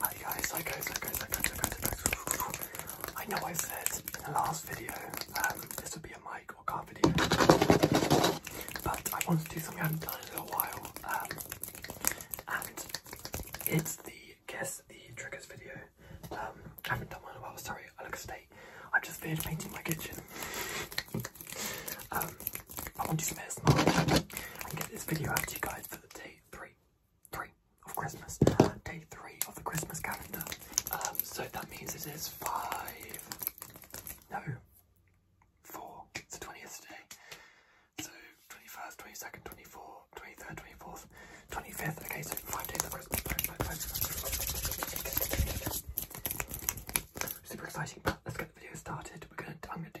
Hi guys, hi guys, hi guys, hi guys, hi guys, hi guys. I know I said in the last video um, this would be a mic or camera video, but I wanted to do something I haven't done in a while, um, and it's the guess the triggers video. Um, I haven't done one in a while, sorry, I look a state. I'm just finished painting my kitchen. Um, I want to do some time and get this video out to you guys for the day three, three of Christmas, day three of the Christmas calendar. Um, so that means it is five, no, four. It's the 20th day. So 21st, 22nd, 24th, 23rd, 24th, 25th. Okay, so five days of Christmas. Super exciting, but let's get the video started. We're gonna, I'm gonna do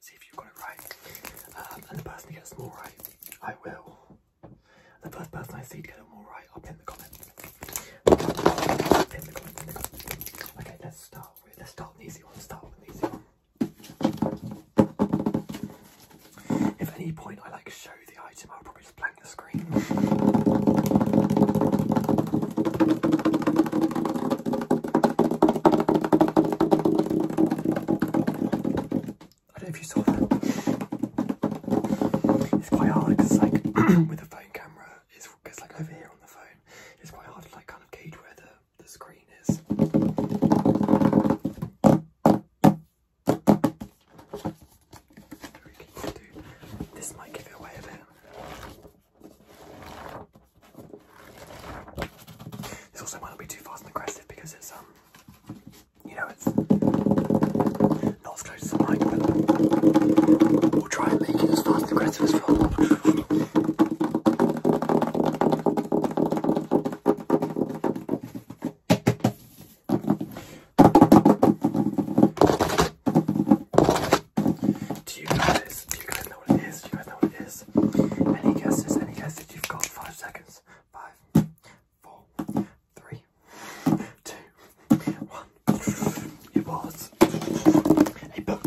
see if you have got it right. Um, and the person who gets more right, I will. The first person I see to get them all right, I'll pin the comment. the comment, Okay, let's start let's start with an easy one. Start with an easy one. If any point I like show the item, I'll probably just blank the screen. I don't know if you saw that. It's quite hard It's like with a phone camera, it's, it's like over here on the phone. It's quite hard to like kind of gauge where the, the screen is. This might give it away a bit. This also might not be too fast and aggressive because it's um, you know, it's not as close as I like, but we'll try and make it as fast and aggressive as possible. Do you guys, know what it is? do you guys know what it is? Do you guys know what it is? Any guesses? Any guesses? You've got five seconds. Five, four, three, two, one. It was a book. It was a book.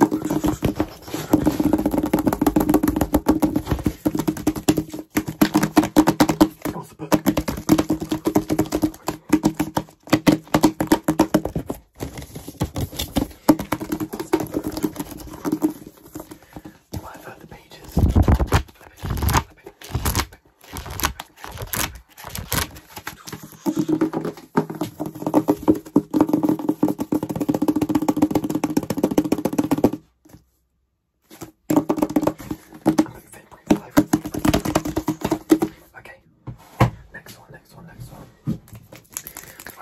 Life out the pages. Flipping, flipping, flipping. Okay, next one, next one, next one.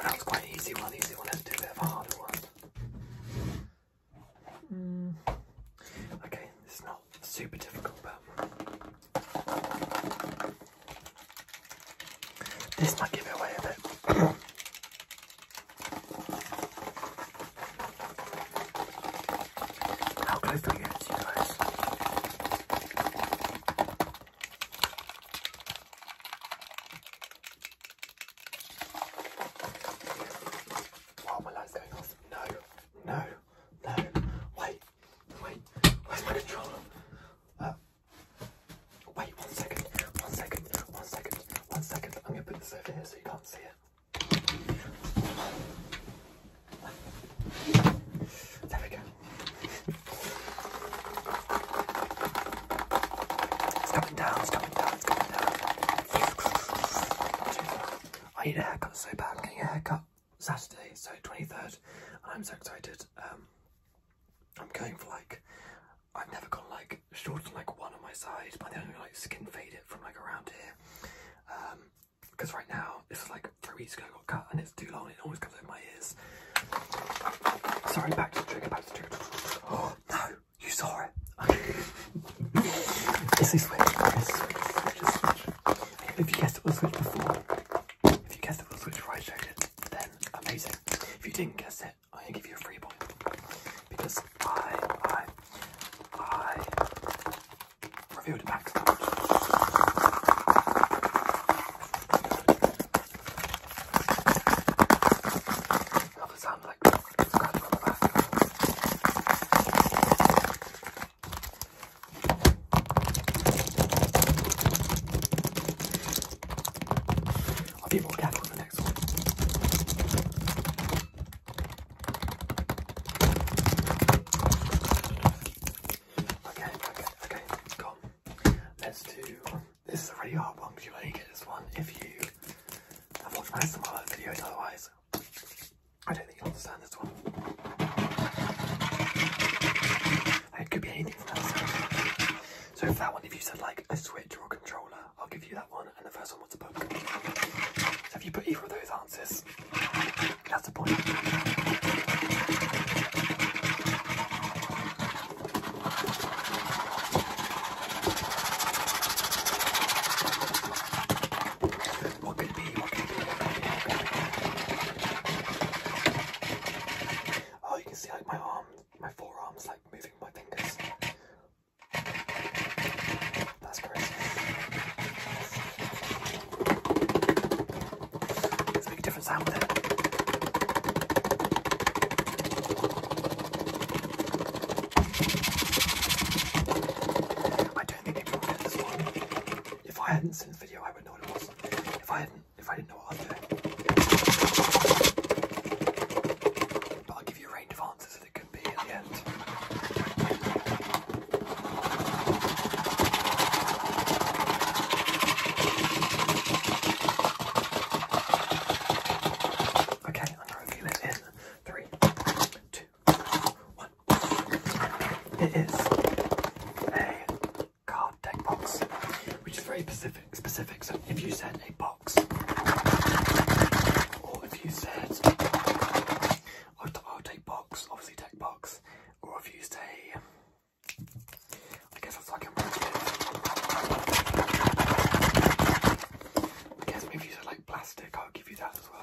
that was quite easy one, easy one. Let's do a harder one. Mm. Okay, this is not super difficult, but this might give it away a bit. How close do you guys? Oh, my light's going off. No, no, no. Wait, wait. Where's my controller? Uh, wait, one second, one second, one second, one second. I'm going to put this over here so you can't see it. There we go. It's coming down, it's coming down, it's coming down. I need a haircut so bad. I'm getting a haircut Saturday, so 23rd, I'm so excited. Um, I'm going for like, I've never gone like shorter than like one on my side, but then I'm going like skin fade it from like around here. Um, because right now, this is like three weeks ago cut and it's too long, it always comes over my ears. Sorry, back to the trigger, back to the trigger. Oh, no, you saw it. it's a switch, it's a switch, it's a switch. If you guessed it was a switch before, if you guessed it was a switch before I it, then amazing. If you didn't guess it, I'm give you a free point. Because I, I, I revealed it back so Love the sound like it's got from the back. I'll be more careful with the next one. Okay, okay, okay, it's gone. Let's do this is a really hard one because you only get this one if you have watched my other videos, otherwise, I don't think you'll understand this one. It could be anything from that side. So if that one, if you said like a switch or a controller, I'll give you that one, and the first one was a book. So if you put either of those answers, that's a point. What could it be? What could it be? Oh, you can see like my arm, my forearms, like moving my fingers. That's crazy. I don't think anyone will this one. If I hadn't seen this video, I would not know what it was. If I hadn't, if I didn't know what I was doing. But I'll give you a range of answers that it could be at the end. Okay, I'm not it three, two, one. It is a card deck box, which is very specific. Specific. So if you said a box, or if you said I'll, I'll box, obviously take box, or if you say I guess it's fucking working. I guess maybe you like plastic, I'll give you that as well,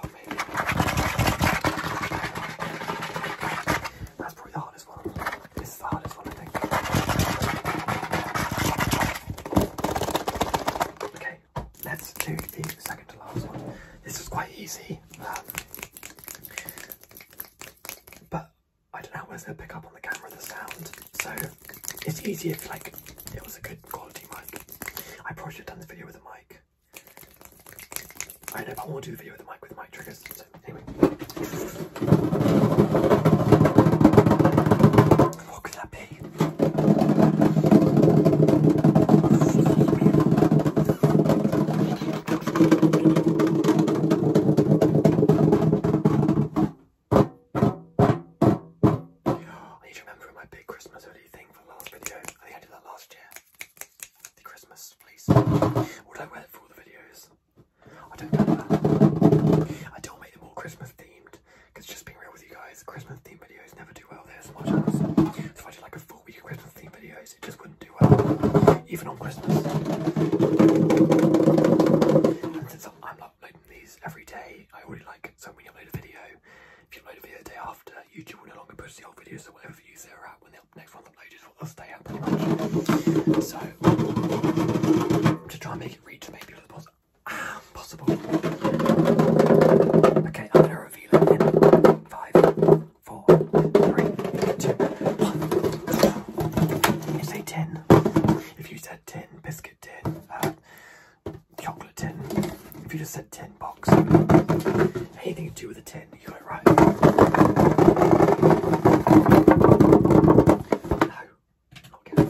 That's probably the hardest one. This is the hardest one, I think. Okay, let's do the second to last one. This is quite easy. Um, but I don't know whether it'll pick up on the camera the sound, so it's easier if like it was a good quality mic. I probably should have done this video with a mic. I know, I want to do the video with the mic with mic triggers. anyway. What that be? I need to remember my big Christmas hoodie thing for the last video. I think I did that last year. Christmas fleece. What I wear for all the videos? I don't know that. I don't make them all Christmas themed because just being real with you guys, Christmas themed videos never do well There's as much as. So if I did like a full week Christmas themed video, it just wouldn't do well, even on Christmas. And since I'm uploading these every day, I already like it. So when you upload a video, if you upload a video the day after, YouTube will no longer push the old videos, so whatever views they're when the next one's uploaded will stay up So, to try and make it reach maybe a little possible. possible. Okay, I'm gonna reveal it in five, four, three, two, one. Say ten. If you said ten, biscuit ten, uh, chocolate ten. if you just said ten box, anything to do with a ten, you got it right. No. Okay.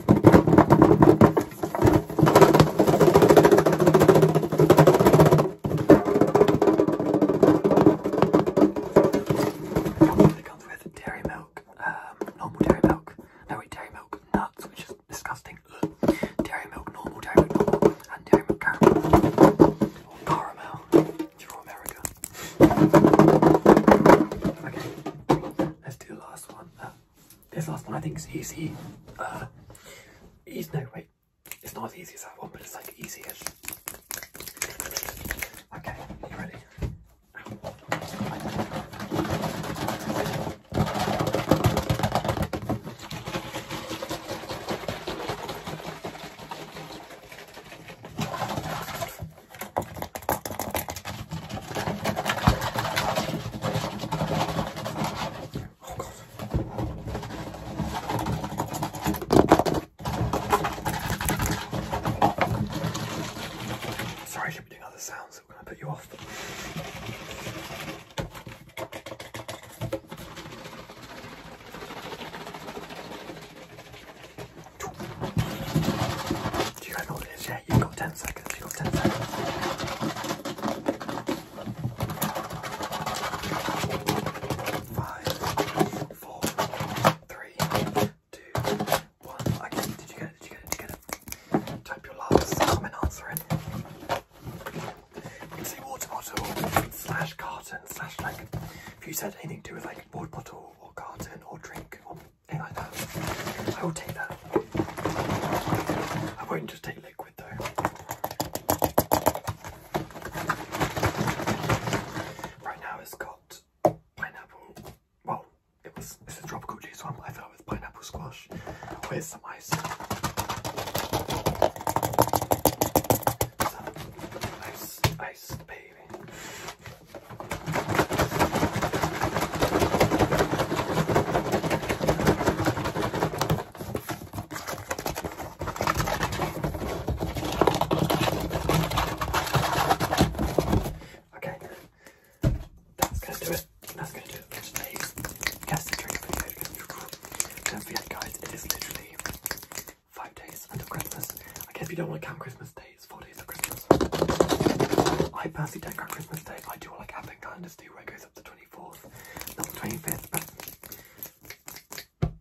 It comes with dairy milk, um, normal dairy milk. No wait, dairy milk nuts, which is disgusting. Ugh. Dairy milk, normal dairy milk, normal, and dairy milk caramel. Or caramel, it's from America. Okay, let's do the last one. Uh, this last one I think is easy. Uh, easy. No wait, it's not as easy as that one, but it's like easy-ish. Okay, are you ready? Oh, God. Sorry, I should be doing other sounds I'm going to put you off. Do you know what it is? Yeah, you've got 10 seconds. You've got 10 seconds. Five, four, three, two, one. Okay, did you get it? Did you get it? Did you get it? Type your last comment answer in. It's a water bottle slash carton slash like if you said anything to do with like water bottle or carton or drink or anything like that. I will take that. I won't just take liquid though. Right now it's got pineapple, well, it was, it's a tropical juice I thought it was pineapple squash Where's some ice. ice, ice, baby. Okay, that's gonna do it. That's gonna do it for today's guess and drink Don't forget, guys, it is literally five days until Christmas. I guess if you don't want to count Christmas Day, it's four days of Christmas. I personally don't count Christmas Day. I do like advent calendars do where it goes up to 24th, not the 25th,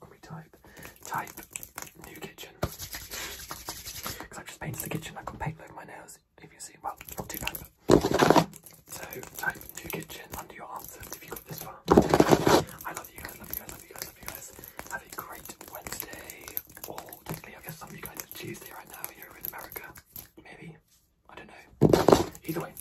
can we type? Type new kitchen. Because i just painted the kitchen. I've got paint on my nails. If you see, well, not too bad. But... So type new kitchen under your answers if you got this far. I love you guys. Love you guys. Love you guys. Love you guys. Have a great Wednesday. Or technically, I guess some of you guys it's Tuesday right now. You're in America. Maybe. I don't know. Either way.